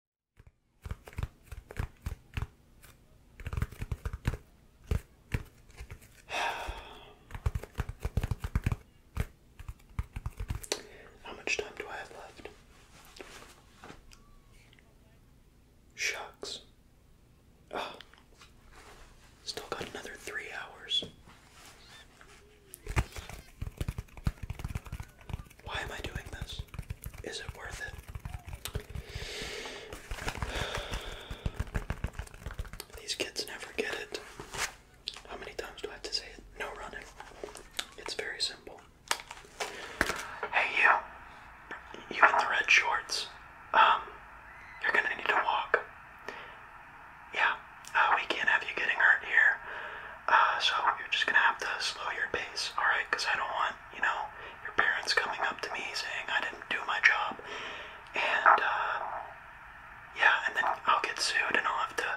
How much time do I have left? Shucks. Oh. Still got another three hours. Why am I doing this? Is it worth it? These kids never get it. How many times do I have to say it? No running. It's very simple. Hey, you. You in the red shorts. Um, you're gonna need to walk. Yeah, uh, we can't have you getting hurt here. Uh, so you're just gonna have to slow your pace, alright? Because I don't want, you know, your parents coming up to me saying I didn't do my job. And, uh, yeah, and then I'll get sued and I'll have to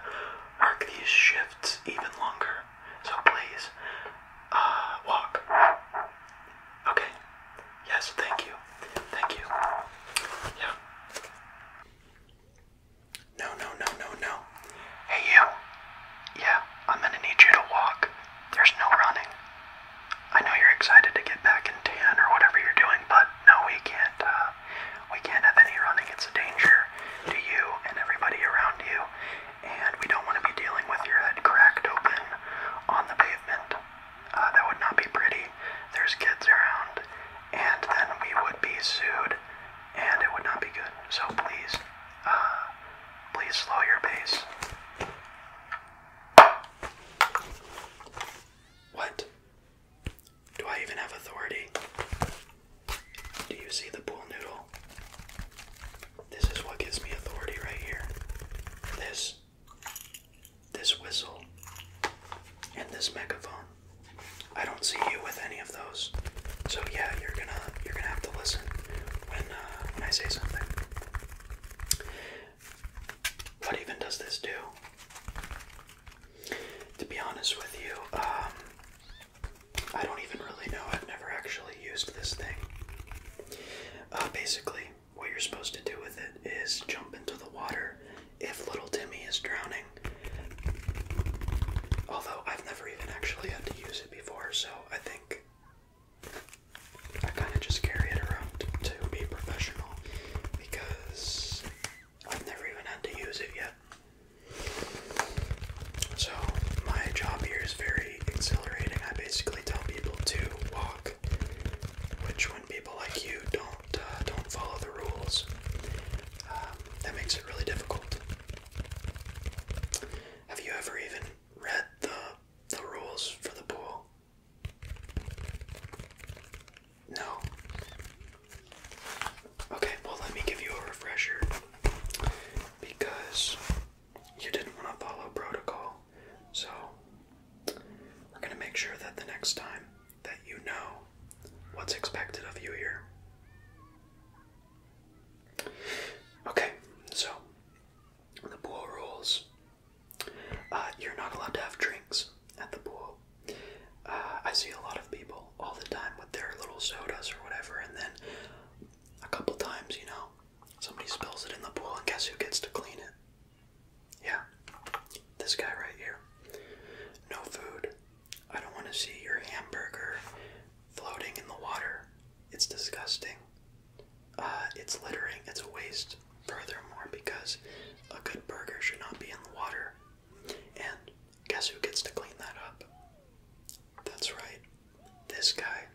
work these shifts even longer. So please, uh, walk. Okay. Yes, thank you. Thank you. Yeah. No, no, no, no, no. Hey, you. Yeah, I'm gonna need you to walk. There's no running. I know you're excited to get back in tan or whatever you're doing, but no, we can't. Uh, we can't have any running. It's a danger to you and everybody around you, and we don't want to be dealing with your head cracked open on the pavement. Uh, that would not be pretty. There's kids around, and then we would be sued, and it would not be good. So please, uh, please slow your pace. What? Do I even have authority? Do you see the pool noodle? This is what gives me authority right here. This. This whistle. And this megaphone. I don't see you with any of those. So yeah, you're gonna you're gonna have to listen when uh, when I say something. What even does this do? To be honest with you, um, I don't even really know. I've never actually used this thing. Uh, basically, what you're supposed to do with it is jump into the water if little Timmy is drowning. Although I've never even actually had to use before, so I think I kind of just carry it around to be professional because I've never even had to use it yet. So, my job here is very exhilarating. I basically tell people to walk, which when people like you don't uh, don't follow the rules, um, that makes it really difficult. Have you ever even read the the rules for the pool? No. Okay, well let me give you a refresher because you didn't want to follow protocol. So we're going to make sure that the next time that you know what's expected of you here. Okay, so the pool rules. Uh, you're not allowed to have drinks at the pool. Uh, I see a lot of people all the time with their little sodas or whatever, and then a couple times, you know, somebody spills it in the pool, and guess who gets to clean it? Yeah, this guy right here. No food. I don't want to see your hamburger floating in the water. It's disgusting. Uh, it's littering, it's a waste. Furthermore, because a good burger should not be in the water. And guess who gets to clean that up? That's right, this guy.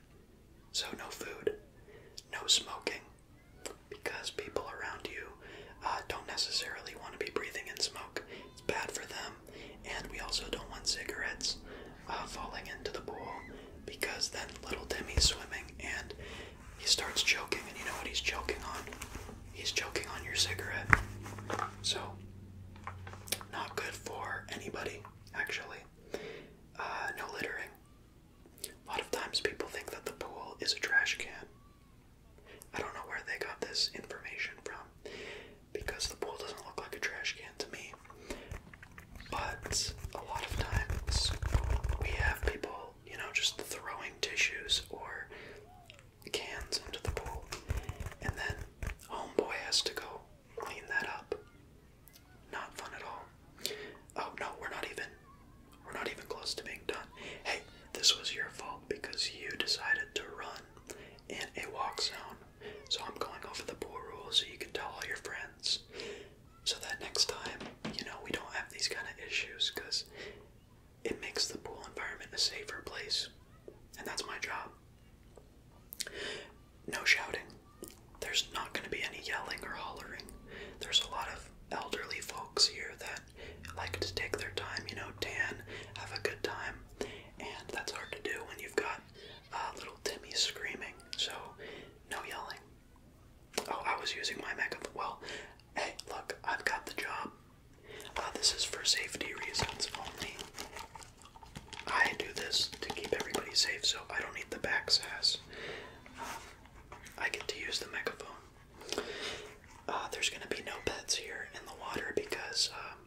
So, no food, no smoking, because people around you uh, don't necessarily want to be breathing in smoke. It's bad for them, and we also don't want cigarettes uh, falling into the pool because then little Demi's swimming and he starts choking, and you know what he's choking on? He's choking on your cigarette. So, not good for anybody, actually. Uh, no littering. A lot of times people think that the pool is a trash can. I don't know where they got this information from because the pool doesn't look like a trash can to me. But a lot of times we have people, you know, just throwing tissues or cans into the pool, and then homeboy has to go clean that up. Not fun at all. Oh no, we're not even. We're not even close to being done. Hey, this was your fault because you decided to run in a walk zone so I'm going over the pool rules so you can tell all your friends. So that next time, you know, we don't have these kind of issues because it makes the pool environment a safer place. And that's my job. No shouting. There's not going to be any yelling or hollering. There's a lot of elderly folks here that like to take their time, you know, tan, have a good time. And that's hard to do when you've got uh, little Timmy screaming, so no yelling. Oh, I was using my megaphone. Well, hey, look, I've got the job. Uh, this is for safety reasons only. I do this to keep everybody safe, so I don't need the back sass. Um, I get to use the megaphone. Uh, there's gonna be no pets here in the water because um,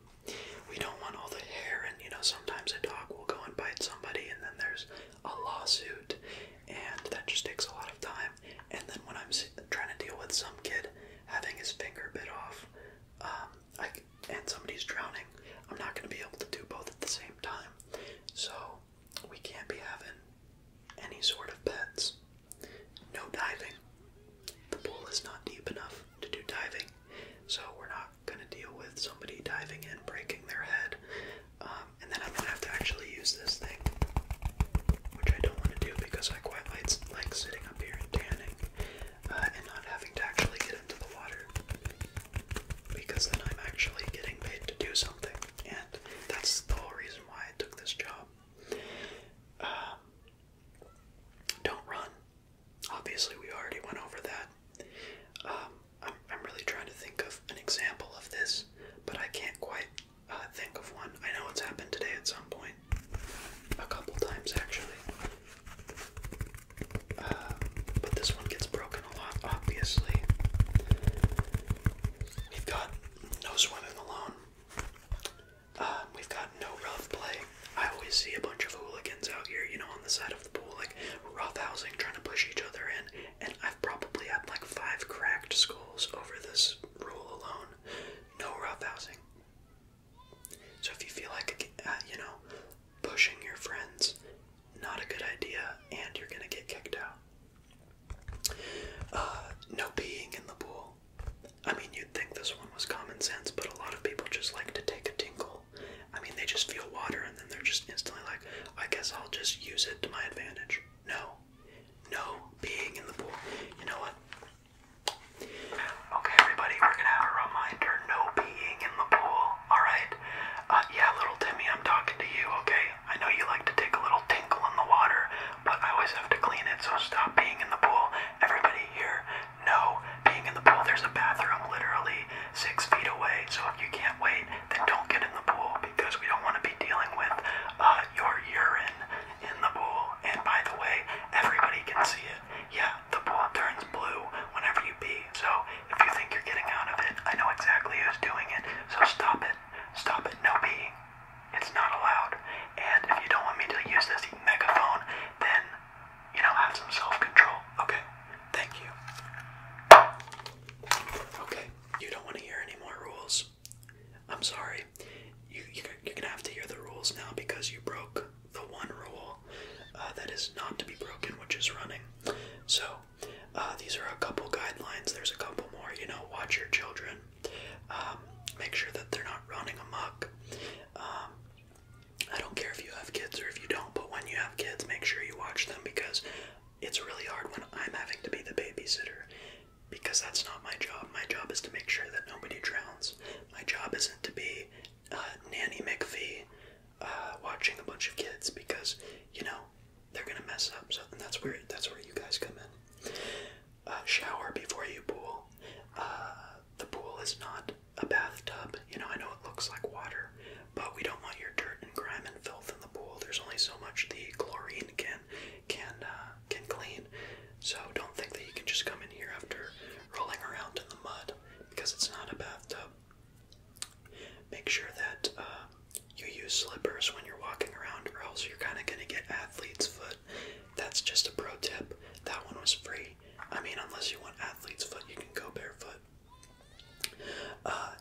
we don't want all the hair and you know sometimes a dog will go and bite somebody and then there's a lawsuit and that just takes a lot of time and then when i'm trying to deal with some kid having his finger bit off um, and somebody's drowning i'm not going to be able to do both at the same time so we can't be having any sort of pets no diving the pool is not deep enough to do diving so we're not gonna deal with somebody diving in, breaking their head, um, and then I'm gonna have to actually use this thing, which I don't want to do because I quite like, sitting up here and tanning uh, and not having to actually get into the water because then I'm actually getting paid to do something, and that's the whole reason why I took this job. Um, don't run. Obviously, we already went over that. Um, I'm, I'm really trying to think of an example of this, but I can't quite uh, think of one. I know it's happened today at some point, a couple times actually. Uh, but this one gets broken a lot, obviously. We've got no swimming alone. Uh, we've got no rough play watching, I always see a bunch of hooligans out here, you know, on the side of the pool, like roughhousing, trying to push each other in. And I've probably had like five cracked skulls over this rule alone. No roughhousing. So if you feel like, uh, you know, pushing your friends, not a good idea, and you're gonna get kicked out. Uh, no peeing in the pool. I mean, you'd think this one was common sense, but a lot of people just like to take a tinkle feel. I mean, they just feel water and then they're just instantly like, I guess I'll just use it to my advantage. No. No being in the pool. You know what? Okay, everybody, we're gonna have a reminder no being in the pool, alright? Uh, yeah, little Timmy, I'm talking to you, okay? I know you like to take a little tinkle in the water, but I always have to clean it, so stop being in the pool. Everybody here, no, being in the pool, there's a bathroom literally six feet away. So if you can't wait, then don't get in the pool because we don't want to be dealing with uh, your urine in the pool. And by the way, everybody can see it. Yeah, the pool turns blue whenever you pee. So if you think you're getting out of it, I know exactly who's doing it. So stop it. Stop it. No peeing. It's not allowed. And if you don't want me to use this megaphone, then you know, have some self-control. Okay, thank you. Okay, you don't want to hear any more rules. I'm sorry. You, you, are gonna have to hear the rules now because you broke the one rule uh, that is not to be broken, which is running. So, uh, these are a couple guidelines. There's a couple more. You know, watch your children. Um, make sure that they're not running amok. Um, I don't care if you have kids or if you don't, but when you have kids, make sure you watch them because it's really hard when I'm having to be the babysitter because that's not my job. My job is to make sure that nobody drowns. My job isn't to be uh, Nanny McPhee uh, watching a bunch of kids because, you know, they're gonna mess up. So, that's where that's where you guys come in. Uh, shower before you pool. Uh, the pool is not a bathtub. You know, I know it looks like water, but we don't want your dirt and grime and filth in the pool. There's only so much the chlorine can can uh, can clean. So don't think that you can just come in here after rolling around in the mud because it's not a bathtub. Make sure that uh, you use slippers when you're walking around, or else you're kind of gonna get athlete's foot. That's just a pro tip. That one was free. I mean, unless you want athlete's foot, you can go barefoot. Uh,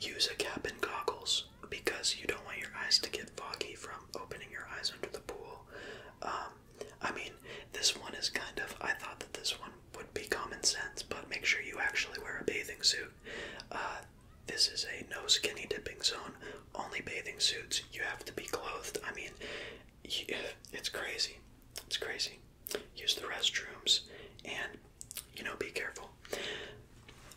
use a cap and goggles because you don't want your eyes to get foggy from opening your eyes under the pool. Um, I mean, this one is kind of, I thought that this one would be common sense, but make sure you actually wear a bathing suit. Uh, this is a no skinny dipping zone, only bathing suits. You have to be clothed. I mean, it's crazy. It's crazy use the restrooms, and you know, be careful.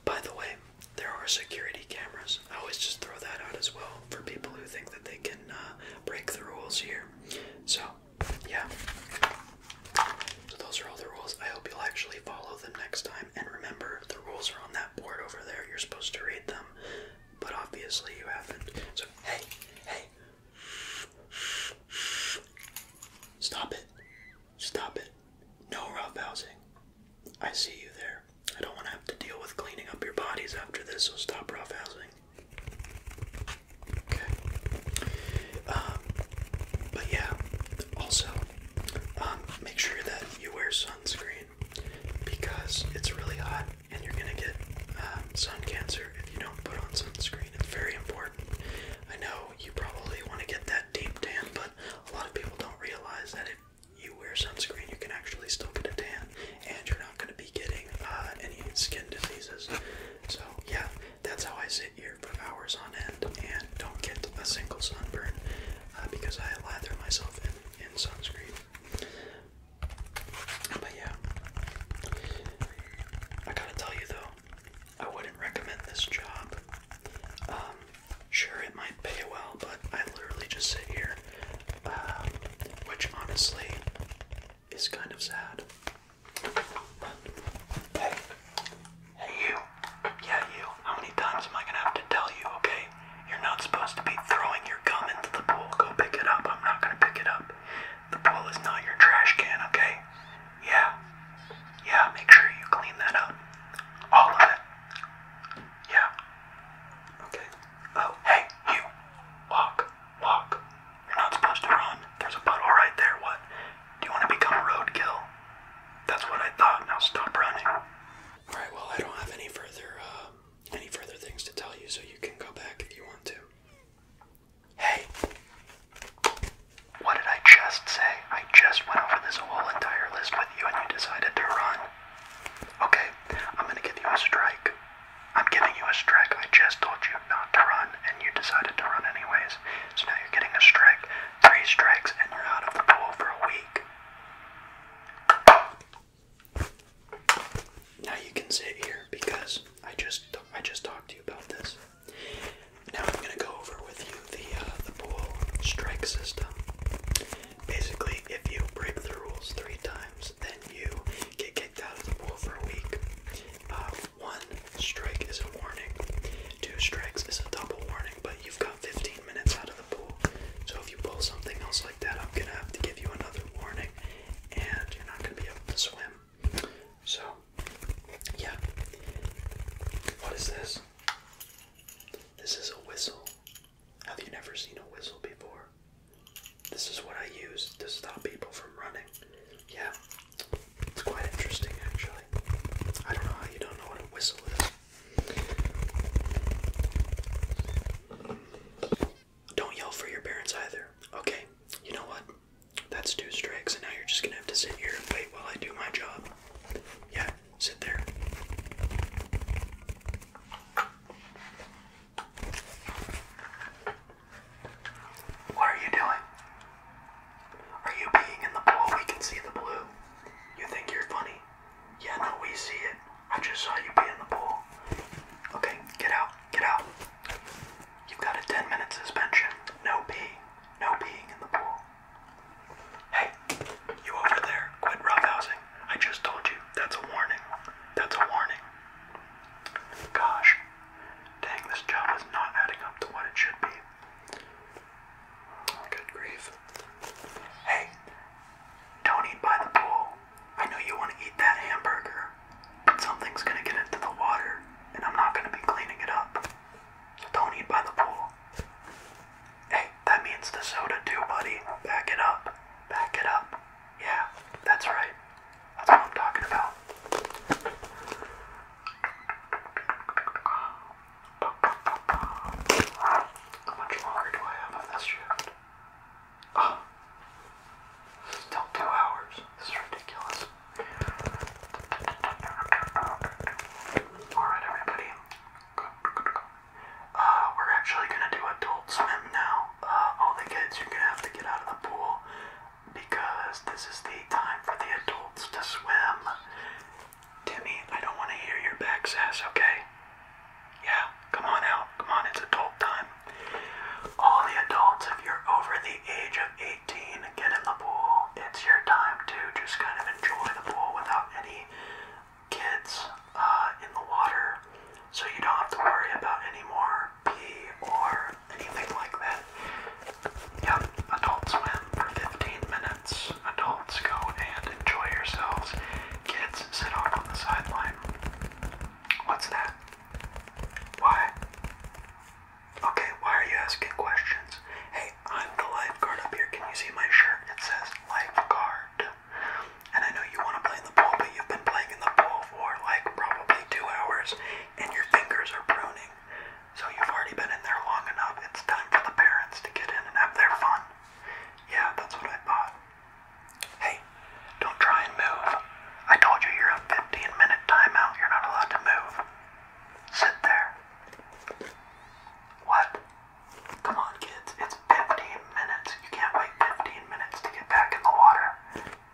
By the way, there are security cameras. I always just throw that out as well for people who think that they can uh, break the rules here. So, yeah. So, those are all the rules. I hope you'll actually follow them next time. And remember, the rules are on that board over there. You're supposed to read them, but obviously you haven't. So, hey, hey. Stop it. Stop it. No rough housing. I see you there. I don't want to have to deal with cleaning up your bodies after this, so stop rough housing. Okay. Um, but yeah, also, um, make sure that you wear sunscreen because it's really hot and you're going to get uh, sun cancer if you don't put on sunscreen. It's very important. I know you probably want to get that deep tan, but a lot of people don't realize that if you wear sunscreen, you can actually still get a tan, and you're not going to be getting uh, any skin diseases. So, yeah, that's how I sit here for hours on end and don't get a single sunburn uh, because I lather myself in, in sunscreen. But yeah, I gotta tell you though, I wouldn't recommend this job. Um, sure, it might pay well, but I literally just sit here, um, which honestly is kind of sad. hey, hey, you. Yeah, you. How many times am I gonna have to tell you, okay? You're not supposed to be throwing your gum into the pool. Go pick it up. I'm not gonna pick it up. The pool is not your trash can, okay? Yeah. Yeah, make sure you clean that up. All of it. Yeah. Okay. Oh, hey, you. Walk. Walk. You're not supposed to run. There's a puddle right there. What? Do you want to become roadkill? That's what I thought. Now stop running. Alright, well, I don't have any further, uh, any further things to tell you, so you can go back if you want to. Hey, what did I just say? I just went over this whole entire list with you and you decided to run. Okay, I'm gonna give you a strike. I'm giving you a strike. I just told you not to run and you decided to run anyways. So now you're getting a strike. Three strikes and you're out of the pool for a week. Now you can sit here because I just I just talked to you about this. Now I'm gonna go over with you the uh, the pool strike system. Basically, if you break the rules three times, then you get kicked out of the pool for a week. Uh, one strike is a warning. Two strikes is a double warning, but you've got 15 minutes out of the pool. So if you pull something else like that, I'm gonna have to give you another warning, and you're not gonna be able to swim. So, yeah. What is this? This is a whistle. Have you never seen a whistle before? This is what I use to stop people from running. Yeah, it's quite interesting actually. I don't know how you don't know what a whistle is. Don't yell for your parents either. Okay, you know what? That's two strikes, and now you're just gonna have to sit here and wait while I do my job. Yeah, sit there. What are you doing? Are you peeing in the pool? We can see the blue. You think you're funny? Yeah, no, we see it. I just saw you pee in the pool. Okay, get out, get out. You've got a 10 minute suspension. No pee. No peeing in the pool. Hey, you over there, quit roughhousing. I just told you, that's a warning. That's a warning. Gosh, dang, this job is not adding up to what it should be. Good grief. Hey, don't eat by the pool. I know you want to eat that hamburger something's gonna get into the water and I'm not gonna be cleaning it up. So don't eat by the pool. Hey, that means the soda too, buddy. Back it up. Back it up. Yeah, that's right. That's what I'm talking about. How much longer do I have on this shift? Oh, still two hours. This is ridiculous. Alright, everybody. Uh, we're actually gonna do adult swim now. Uh, all the kids, you're gonna have to get out of the pool because this is the time for the adults to swim. Timmy, I don't want to hear your back sass, okay? Yeah, come on out. Come on, it's adult time. All the adults, if you're over the age of 18, get in the pool. It's your time to just kind of enjoy the pool without any kids uh, in the water. So you don't have to worry about any more pee or anything like that. Yep, adult swim for 15 minutes. Adults go and enjoy yourselves. Kids sit off on the sideline. What's that? Why? Okay, why are you asking questions? Hey, I'm the lifeguard up here. Can you see my shirt? It says lifeguard. And I know you want to play in the pool, but you've been playing in the pool for like probably two hours and your fingers are pruning. So you've already been in there long enough. It's time for the parents to get in and have their fun. Yeah, that's what I thought. Hey, don't try and move. I told you you're on 15 minute timeout. You're not allowed to move. Sit there. What? Come on, kids. It's 15 minutes. You can't wait 15 minutes to get back in the water.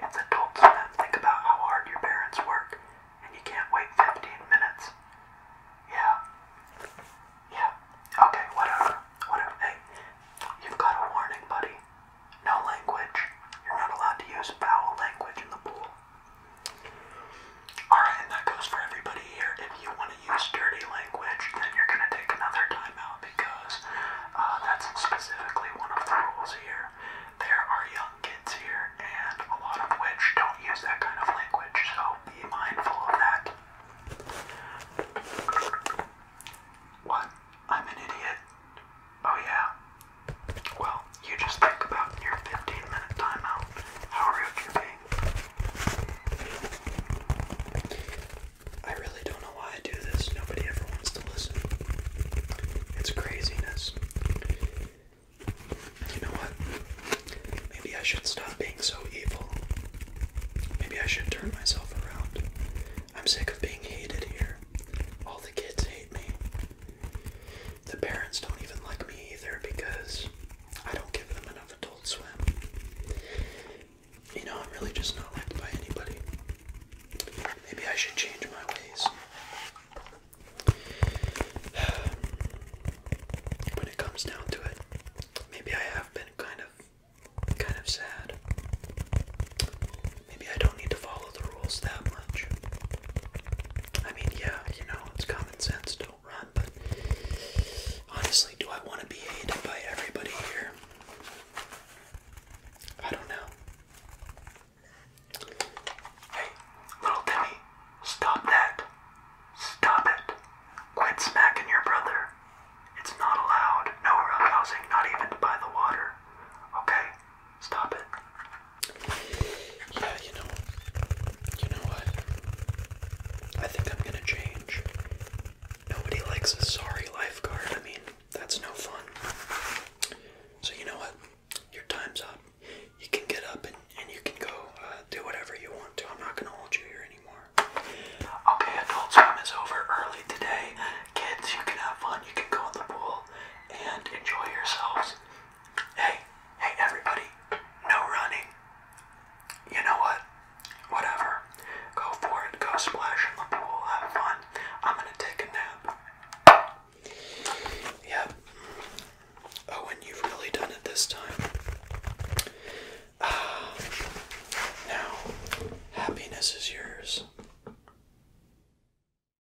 It's adult swim. Think about how hard your parents work, and you can't wait 15 minutes. Yeah. Yeah. Okay, whatever. Whatever. Hey, you've got a warning, buddy. No language. You're not allowed to use foul language in the pool. Alright, and that goes for everybody here. If you want to use dirty language, then you're going to take another timeout because uh, that's specifically one of the rules here. There are young kids here, and a lot of which don't use that kind of language, so be mindful of that. What? I'm an idiot. Oh yeah. Well, you just think about your 15 minute timeout, how rude you're being. I really don't know why I do this. Nobody ever wants to listen. It's craziness. You know what? Maybe I should stop being so evil. Maybe I should turn myself around. I'm sick of being hated here. All the kids hate me. The parents don't even like me either because I don't give them enough adult swim. You know, I'm really just not liked by anybody. Maybe I should change my ways. When it comes down to it, maybe I have been kind of kind of sad. Maybe I don't need to follow the rules that much. I mean, yeah, you know, it's common sense, don't run, but honestly, do I want to be hated by everybody here? I don't know. Hey, little Timmy, stop that. Stop it. Quit smacking your brother. It's not allowed. No rough housing, not even by the water. Okay? Stop it. Yeah, you know, you know what? I think I'm gonna change. Nobody likes a sorry lifeguard. I mean, that's no fun. So you know what? Your time's up. You can get up and, and you can go uh, do whatever you want to. I'm not gonna hold you here anymore. Okay, adult swim is over early today. Kids, you can have fun. You can go in the pool and enjoy yourselves. Hey, hey everybody, no running. You know what? Whatever. Go for it, go splash in the pool, have fun. I'm gonna take a nap. Yep. Oh, and you've really done it this time. Ah, now, happiness is yours.